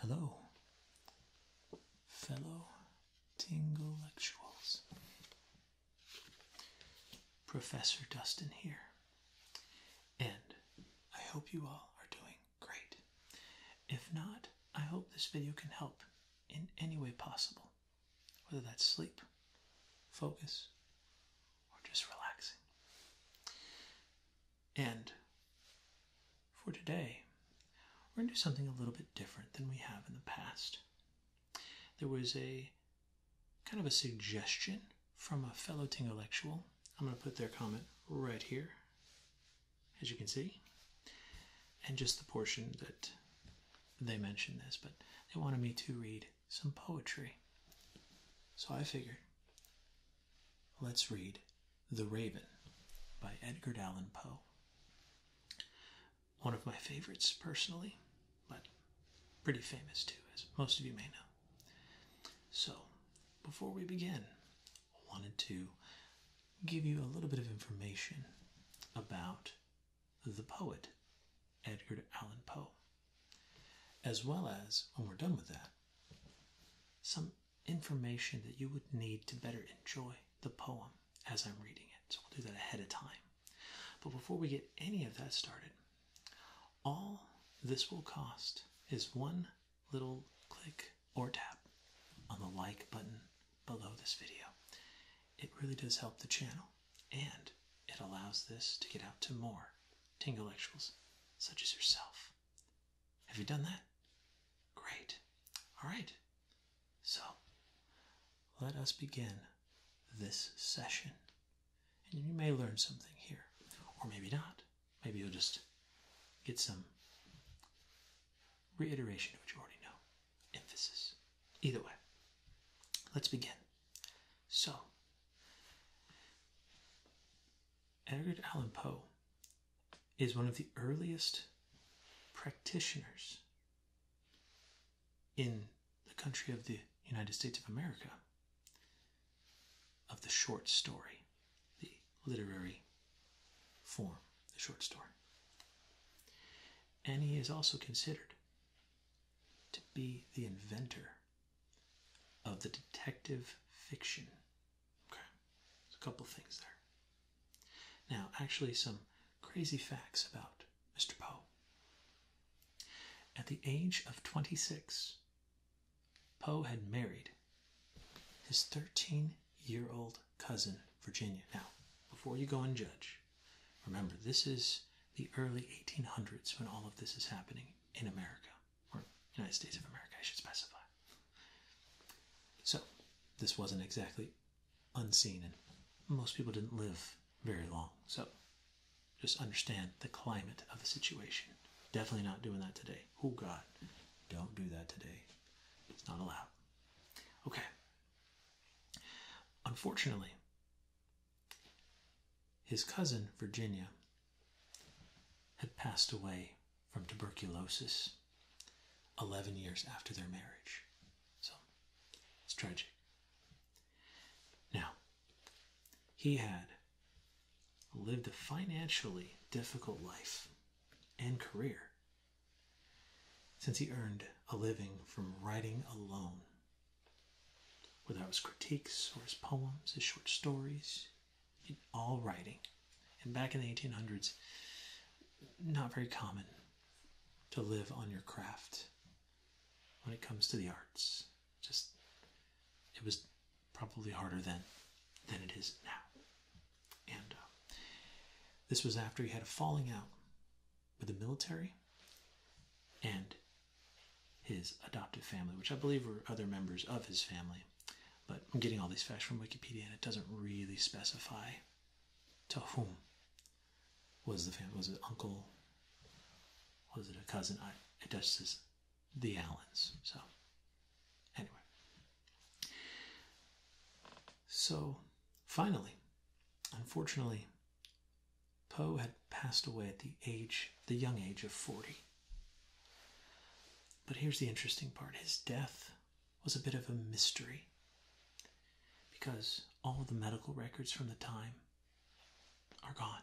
Hello, fellow Tingle Professor Dustin here. And I hope you all are doing great. If not, I hope this video can help in any way possible, whether that's sleep, focus, or just relaxing. And for today, we're going to do something a little bit different than we have in the past. There was a kind of a suggestion from a fellow Tingolectual. I'm going to put their comment right here, as you can see, and just the portion that they mentioned this, but they wanted me to read some poetry. So I figured, let's read The Raven by Edgar Allan Poe. One of my favorites personally, but pretty famous too, as most of you may know. So, before we begin, I wanted to give you a little bit of information about the poet Edgar Allan Poe, as well as, when we're done with that, some information that you would need to better enjoy the poem as I'm reading it. So, we'll do that ahead of time. But before we get any of that started, all this will cost is one little click or tap on the like button below this video. It really does help the channel and it allows this to get out to more Tingelectuals such as yourself. Have you done that? Great. All right. So let us begin this session and you may learn something here, or maybe not. Maybe you'll just get some reiteration of what you already know, emphasis. Either way, let's begin. So, Edgar Allan Poe is one of the earliest practitioners in the country of the United States of America of the short story, the literary form, the short story. And he is also considered to be the inventor of the detective fiction. Okay, There's a couple things there. Now, actually, some crazy facts about Mr. Poe. At the age of 26, Poe had married his 13 year old cousin, Virginia. Now, before you go and judge, remember this is the early 1800s when all of this is happening in America, or United States of America, I should specify. So, this wasn't exactly unseen, and most people didn't live very long. So, just understand the climate of the situation. Definitely not doing that today. Oh, God, don't do that today. It's not allowed. Okay. Unfortunately, his cousin, Virginia, had passed away from tuberculosis 11 years after their marriage. So it's tragic. Now, he had lived a financially difficult life and career since he earned a living from writing alone, whether it was critiques or his poems, his short stories, all writing. And back in the 1800s, not very common to live on your craft when it comes to the arts just it was probably harder than than it is now. And uh, this was after he had a falling out with the military and his adoptive family, which I believe were other members of his family. But I'm getting all these facts from Wikipedia, and it doesn't really specify to whom was the family. Was it uncle? Was it a cousin? I, it just the Allens. So, anyway. So, finally, unfortunately, Poe had passed away at the age, the young age of 40. But here's the interesting part his death was a bit of a mystery because all the medical records from the time are gone.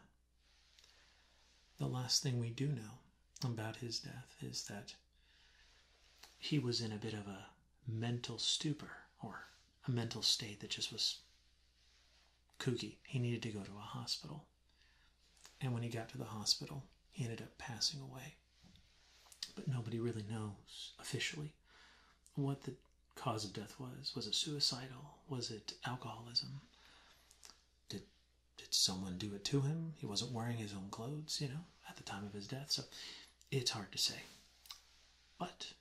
The last thing we do know about his death is that he was in a bit of a mental stupor or a mental state that just was kooky. He needed to go to a hospital. And when he got to the hospital, he ended up passing away. But nobody really knows officially what the cause of death was. Was it suicidal? Was it alcoholism? did did someone do it to him? He wasn't wearing his own clothes, you know, at the time of his death. So it's hard to say. But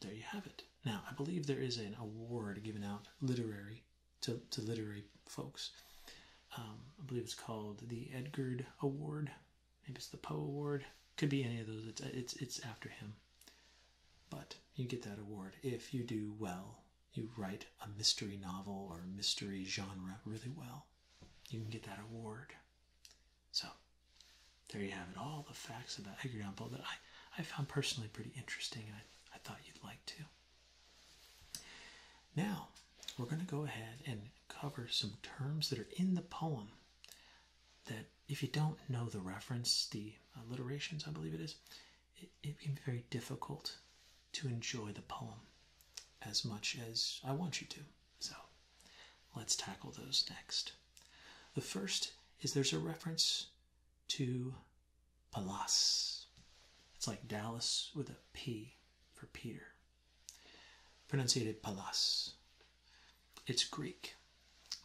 there you have it. Now, I believe there is an award given out literary to, to literary folks. Um, I believe it's called the Edgar Award. Maybe it's the Poe Award. Could be any of those. It's it's it's after him. But you get that award if you do well. You write a mystery novel or mystery genre really well. You can get that award. So there you have it. All the facts about Edgar Allan Poe that I, I found personally pretty interesting and I, I thought you'd like to. Now, we're going to go ahead and cover some terms that are in the poem that if you don't know the reference, the alliterations, I believe it is, it, can be very difficult to enjoy the poem as much as I want you to. So let's tackle those next. The first is there's a reference to Palas. It's like Dallas with a P for Peter. Pronunciated Palas. It's Greek,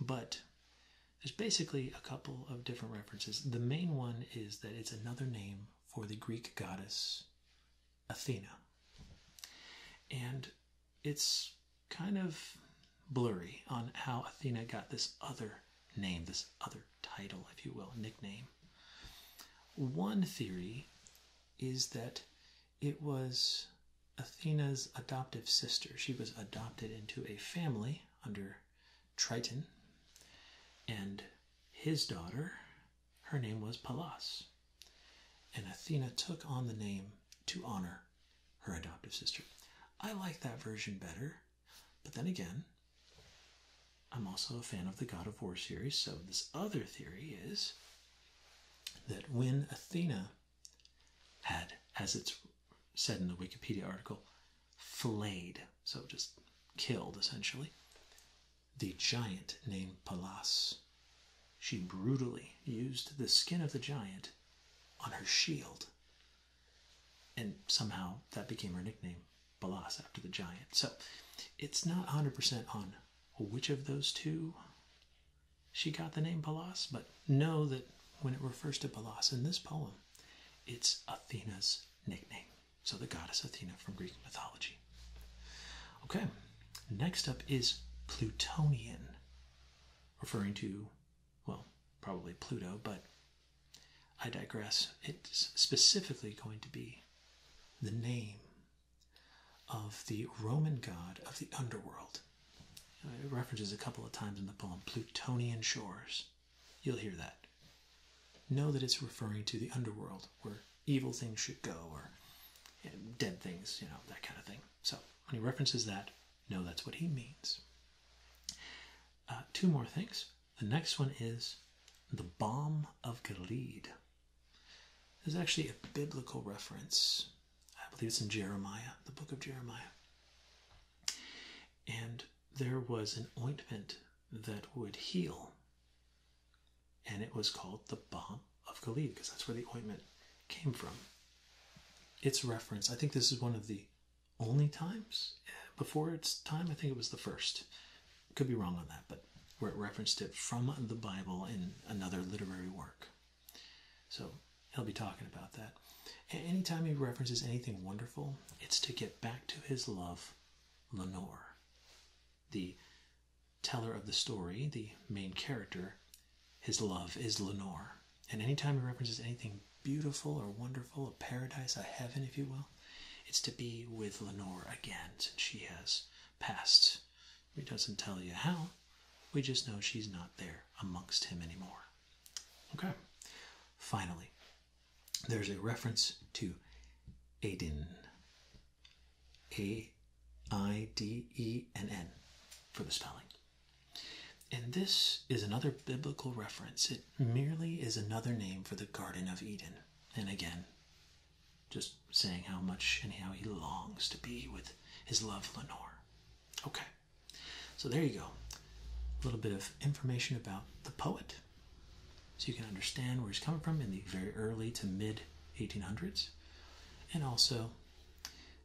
but there's basically a couple of different references. The main one is that it's another name for the Greek goddess Athena. And it's kind of blurry on how Athena got this other name, this other title, if you will, nickname. One theory is that it was Athena's adoptive sister. She was adopted into a family under Triton, and his daughter, her name was Pallas. And Athena took on the name to honor her adoptive sister. I like that version better, but then again, I'm also a fan of the God of War series, so this other theory is that when Athena had as its said in the Wikipedia article, flayed, so just killed essentially, the giant named Pallas. She brutally used the skin of the giant on her shield. And somehow that became her nickname, Balas, after the giant. So it's not 100% on which of those two she got the name Balas, but know that when it refers to Balas in this poem, it's Athena's nickname, so the goddess Athena from Greek mythology. Okay, next up is Plutonian, referring to, well, probably Pluto, but I digress. It's specifically going to be the name of the Roman god of the underworld, uh, references a couple of times in the poem Plutonian shores. You'll hear that. Know that it's referring to the underworld, where evil things should go, or dead things, you know, that kind of thing. So when he references that, know that's what he means. Uh, two more things. The next one is the bomb of Gilead. There's actually a biblical reference. I believe it's in Jeremiah, the book of Jeremiah and there was an ointment that would heal. And it was called the balm of Gilead because that's where the ointment came from. It's referenced, I think this is one of the only times eh, before its time. I think it was the first. Could be wrong on that, but where it referenced it from the Bible in another literary work. So he'll be talking about that. Any time he references anything wonderful, it's to get back to his love, Lenore, the teller of the story, the main character. His love is Lenore. And any time he references anything beautiful or wonderful, a paradise, a heaven, if you will, it's to be with Lenore again since she has passed. He doesn't tell you how, we just know she's not there amongst him anymore. Okay. Finally, there's a reference to Eden. Aiden. A I D E N N for the spelling. And this is another biblical reference. It merely is another name for the Garden of Eden. And again, just saying how much and how he longs to be with his love, Lenore. Okay. So there you go. A little bit of information about the poet so you can understand where he's coming from in the very early to mid 1800s. And also,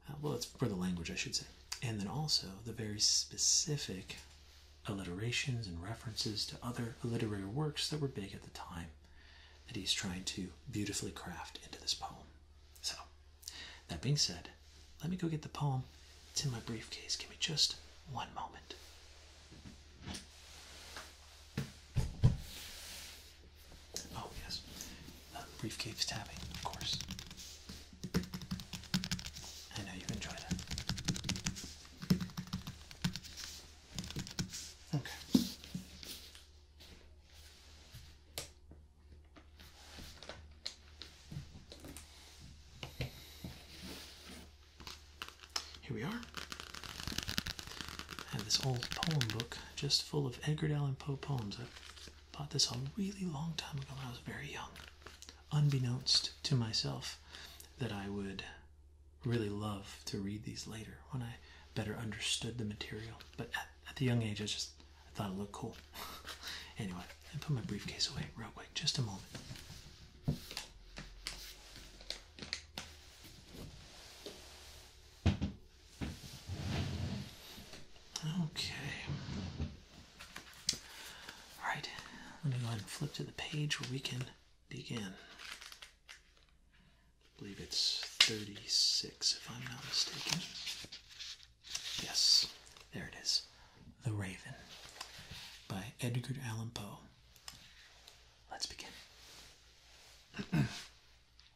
uh, well, it's for the language, I should say. And then also the very specific alliterations and references to other literary works that were big at the time that he's trying to beautifully craft into this poem. So, that being said, let me go get the poem. It's in my briefcase. Give me just one moment. Oh, yes. briefcase tapping, of course. I know you enjoy that. Okay. Here we are. I have this old poem book just full of Edgar Allan Poe poems. I bought this a really long time ago when I was very young, unbeknownst to myself that I would really love to read these later when I better understood the material. But at, the young age, I just I thought it looked cool. anyway, I put my briefcase away real quick, just a moment. Okay. Alright, let me go ahead and flip to the page where we can begin. I believe it's 36, if I'm not mistaken. Yes, there it is. The Raven by Edgar Allan Poe. Let's begin.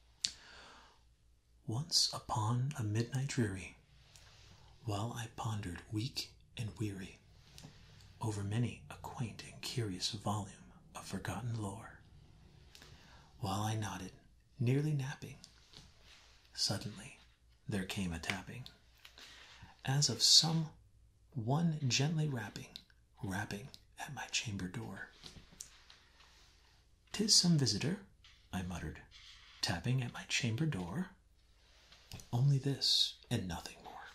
Once upon a midnight dreary, while I pondered weak and weary over many a quaint and curious volume of forgotten lore, while I nodded, nearly napping, suddenly there came a tapping, as of some one gently rapping, rapping at my chamber door. "'Tis some visitor," I muttered, tapping at my chamber door. Only this and nothing more.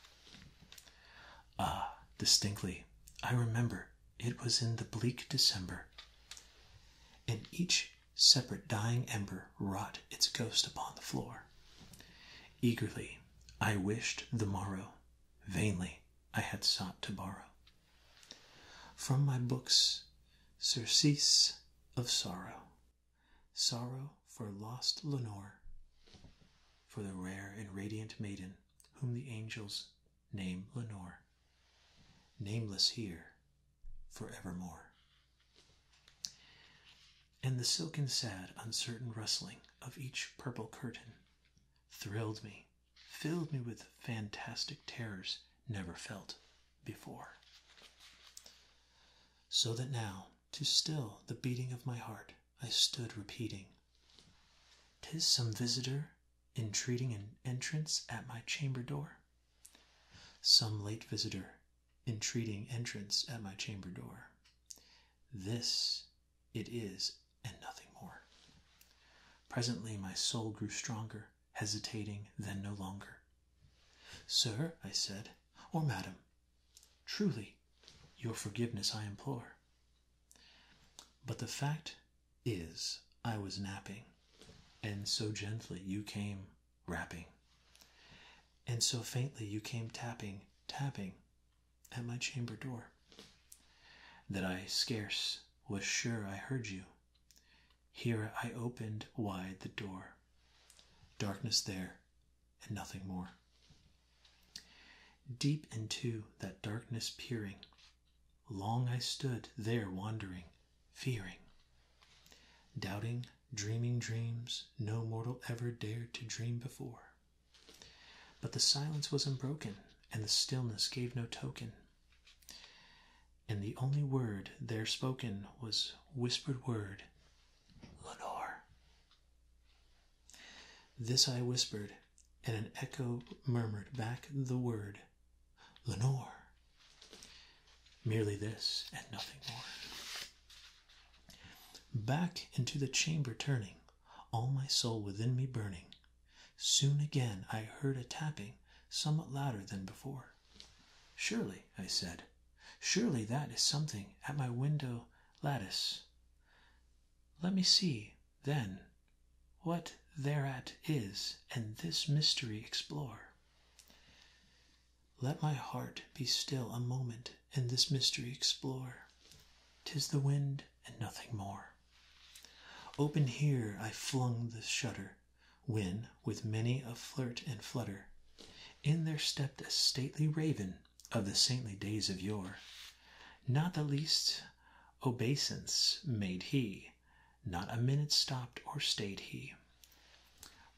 Ah, distinctly, I remember it was in the bleak December. and each separate dying ember wrought its ghost upon the floor. Eagerly I wished the morrow, vainly I had sought to borrow. From my books, surcease of sorrow, sorrow for lost Lenore, for the rare and radiant maiden whom the angels name Lenore. Nameless here, forevermore. And the silken, sad, uncertain rustling of each purple curtain thrilled me, filled me with fantastic terrors never felt before. So that now, to still the beating of my heart, I stood repeating, "'Tis some visitor entreating an entrance at my chamber door.' Some late visitor entreating entrance at my chamber door. This it is, and nothing more. Presently my soul grew stronger, hesitating, then no longer. Sir, I said, or madam, truly, your forgiveness I implore. But the fact is I was napping, and so gently you came rapping, and so faintly you came tapping, tapping at my chamber door, that I scarce was sure I heard you. Here I opened wide the door. Darkness there, and nothing more. Deep into that darkness peering, Long I stood there wandering, fearing, doubting, dreaming dreams no mortal ever dared to dream before. But the silence was unbroken, and the stillness gave no token. And the only word there spoken was whispered word, Lenore. This I whispered, and an echo murmured back the word, Lenore. Merely this and nothing more. Back into the chamber turning, all my soul within me burning, soon again I heard a tapping somewhat louder than before. Surely, I said, surely that is something at my window lattice. Let me see, then, what thereat is, and this mystery explore. Let my heart be still a moment and this mystery explore. Tis the wind and nothing more. Open here I flung the shutter, when, with many a flirt and flutter, in there stepped a stately raven of the saintly days of yore. Not the least obeisance made he not a minute stopped or stayed he.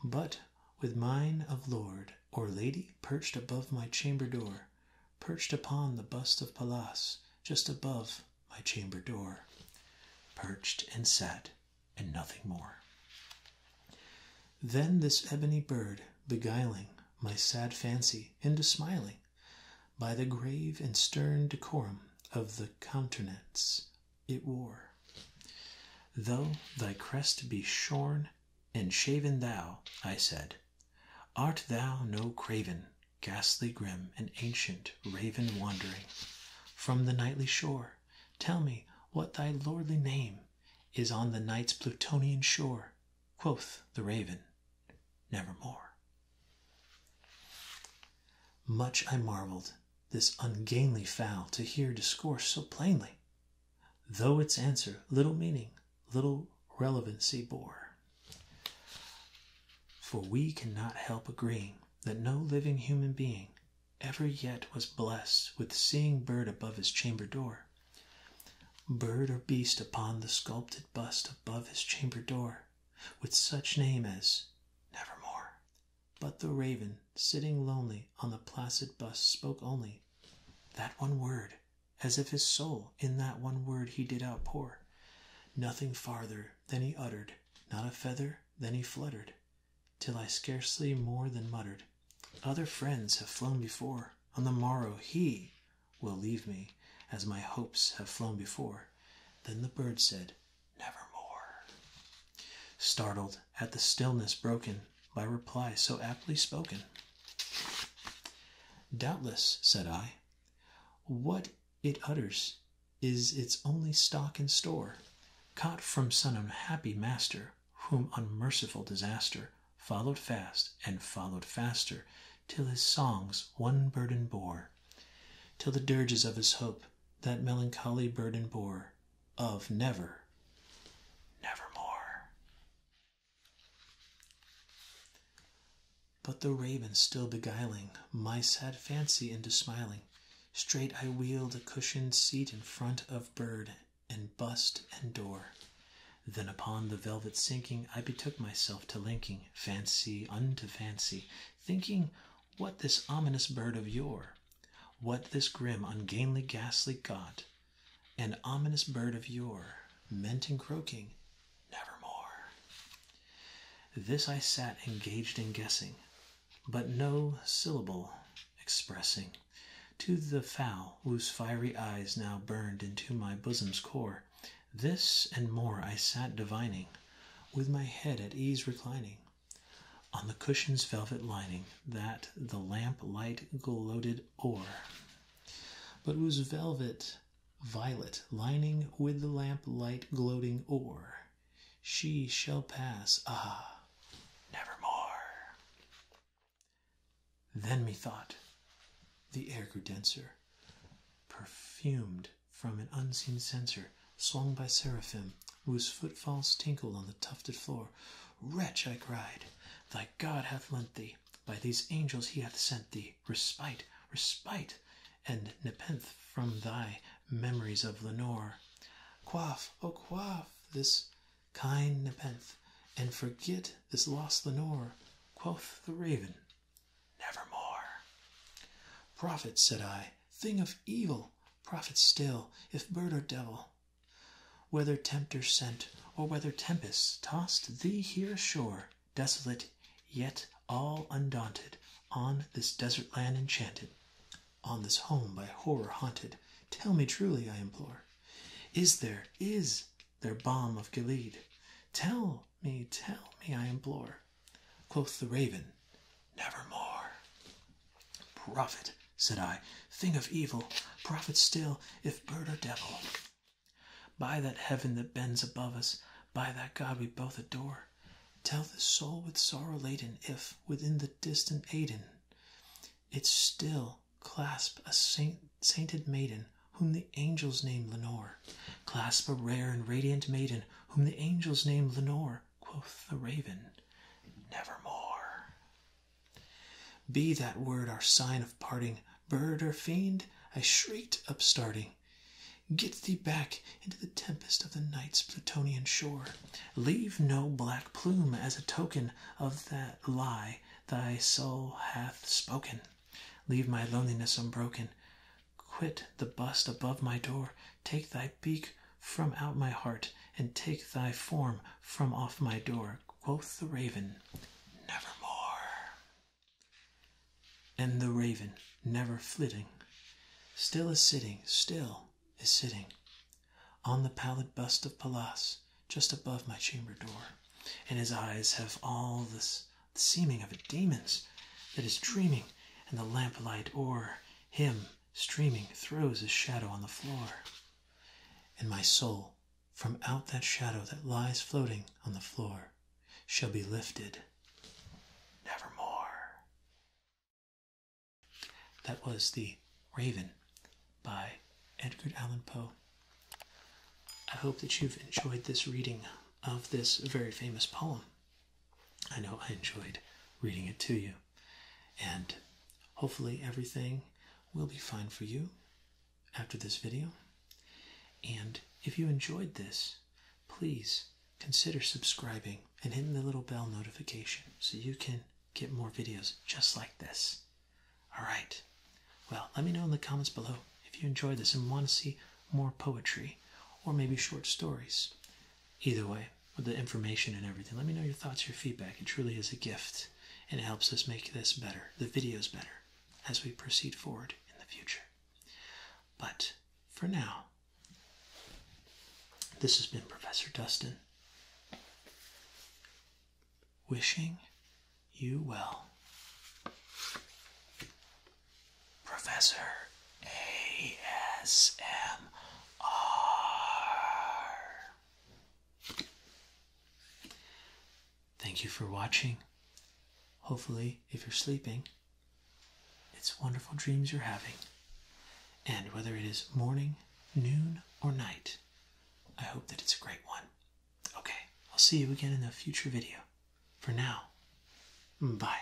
But with mine of lord or lady perched above my chamber door, perched upon the bust of Pallas, just above my chamber door, perched and sat, and nothing more. Then this ebony bird, beguiling my sad fancy into smiling, by the grave and stern decorum of the countenance it wore. Though thy crest be shorn and shaven thou, I said, art thou no craven, ghastly grim, and ancient raven wandering from the nightly shore? Tell me what thy lordly name is on the night's Plutonian shore. Quoth the raven, nevermore. Much I marvelled this ungainly fowl to hear discourse so plainly, though its answer little meaning, little relevancy bore. For we cannot help agreeing that no living human being ever yet was blessed with seeing bird above his chamber door, bird or beast upon the sculptured bust above his chamber door, with such name as Nevermore. But the raven, sitting lonely on the placid bust, spoke only that one word, as if his soul in that one word he did outpour. Nothing farther than he uttered, not a feather than he fluttered, till I scarcely more than muttered, Other friends have flown before, on the morrow he will leave me, as my hopes have flown before. Then the bird said, Never more. Startled at the stillness broken by reply so aptly spoken. Doubtless, said I, what it utters is its only stock in store, caught from some unhappy master, whom unmerciful disaster followed fast and followed faster, till his songs one burden bore, till the dirges of his hope that melancholy burden bore of never, never more. But the raven still beguiling my sad fancy into smiling, straight I wheeled a cushioned seat in front of bird and bust and door. Then upon the velvet sinking, I betook myself to linking fancy unto fancy, thinking what this ominous bird of yore? What this grim, ungainly, ghastly god? An ominous bird of yore, meant in croaking, nevermore. This I sat engaged in guessing, but no syllable expressing to the fowl whose fiery eyes now burned into my bosom's core, this and more I sat divining, with my head at ease reclining on the cushion's velvet lining that the lamp light gloated o'er, but was velvet violet lining with the lamp light gloating o'er. She shall pass, ah, more. Then methought the air grew denser, perfumed from an unseen censer swung by seraphim, whose footfalls tinkled on the tufted floor. Wretch, I cried, thy God hath lent thee, by these angels he hath sent thee, respite, respite, and nepenthe from thy memories of Lenore. Quaff, oh quaff this kind nepenthe, and forget this lost Lenore, quoth the raven Never more. Prophet, said I, thing of evil, prophet still, if bird or devil. Whether tempter sent, or whether tempest tossed thee here ashore, desolate, yet all undaunted, on this desert land enchanted, on this home by horror haunted, tell me truly, I implore, is there, is there balm of Gilead? Tell, me, tell me, I implore. Quoth the raven, Nevermore. Prophet, said I, thing of evil, prophet still, if bird or devil. By that heaven that bends above us, by that God we both adore, tell the soul with sorrow laden if, within the distant Aden, it still clasp a sainted maiden whom the angels name Lenore, clasp a rare and radiant maiden whom the angels named Lenore, quoth the raven, nevermore. Be that word our sign of parting, bird or fiend, I shrieked, upstarting. Get thee back into the tempest of the night's Plutonian shore. Leave no black plume as a token of that lie thy soul hath spoken. Leave my loneliness unbroken Quit the bust above my door, take thy beak from out my heart, and take thy form from off my door. Quoth the raven, Nevermore. And the raven, never flitting, still is sitting, still is sitting, on the pallid bust of Pallas, just above my chamber door, and his eyes have all the the seeming of a demon's that is dreaming, and the lamplight o'er him streaming throws his shadow on the floor. And my soul, from out that shadow that lies floating on the floor, shall be lifted nevermore. That was The Raven by Edgar Allan Poe. I hope that you've enjoyed this reading of this very famous poem. I know I enjoyed reading it to you, and hopefully, everything will be fine for you after this video. And if you enjoyed this, please consider subscribing and hitting the little bell notification so you can get more videos just like this. All right, well, let me know in the comments below if you enjoyed this and want to see more poetry or maybe short stories. Either way, with the information and everything, let me know your thoughts, your feedback. It truly is a gift and it helps us make this better, the videos better, as we proceed forward in the future. But for now, this has been Professor Dustin wishing you well. Professor ASMR. Thank you for watching. Hopefully, if you're sleeping, it's wonderful dreams you're having. And whether it is morning, noon, or night, I hope that it's a great one. Okay, I'll see you again in a future video. For now, bye.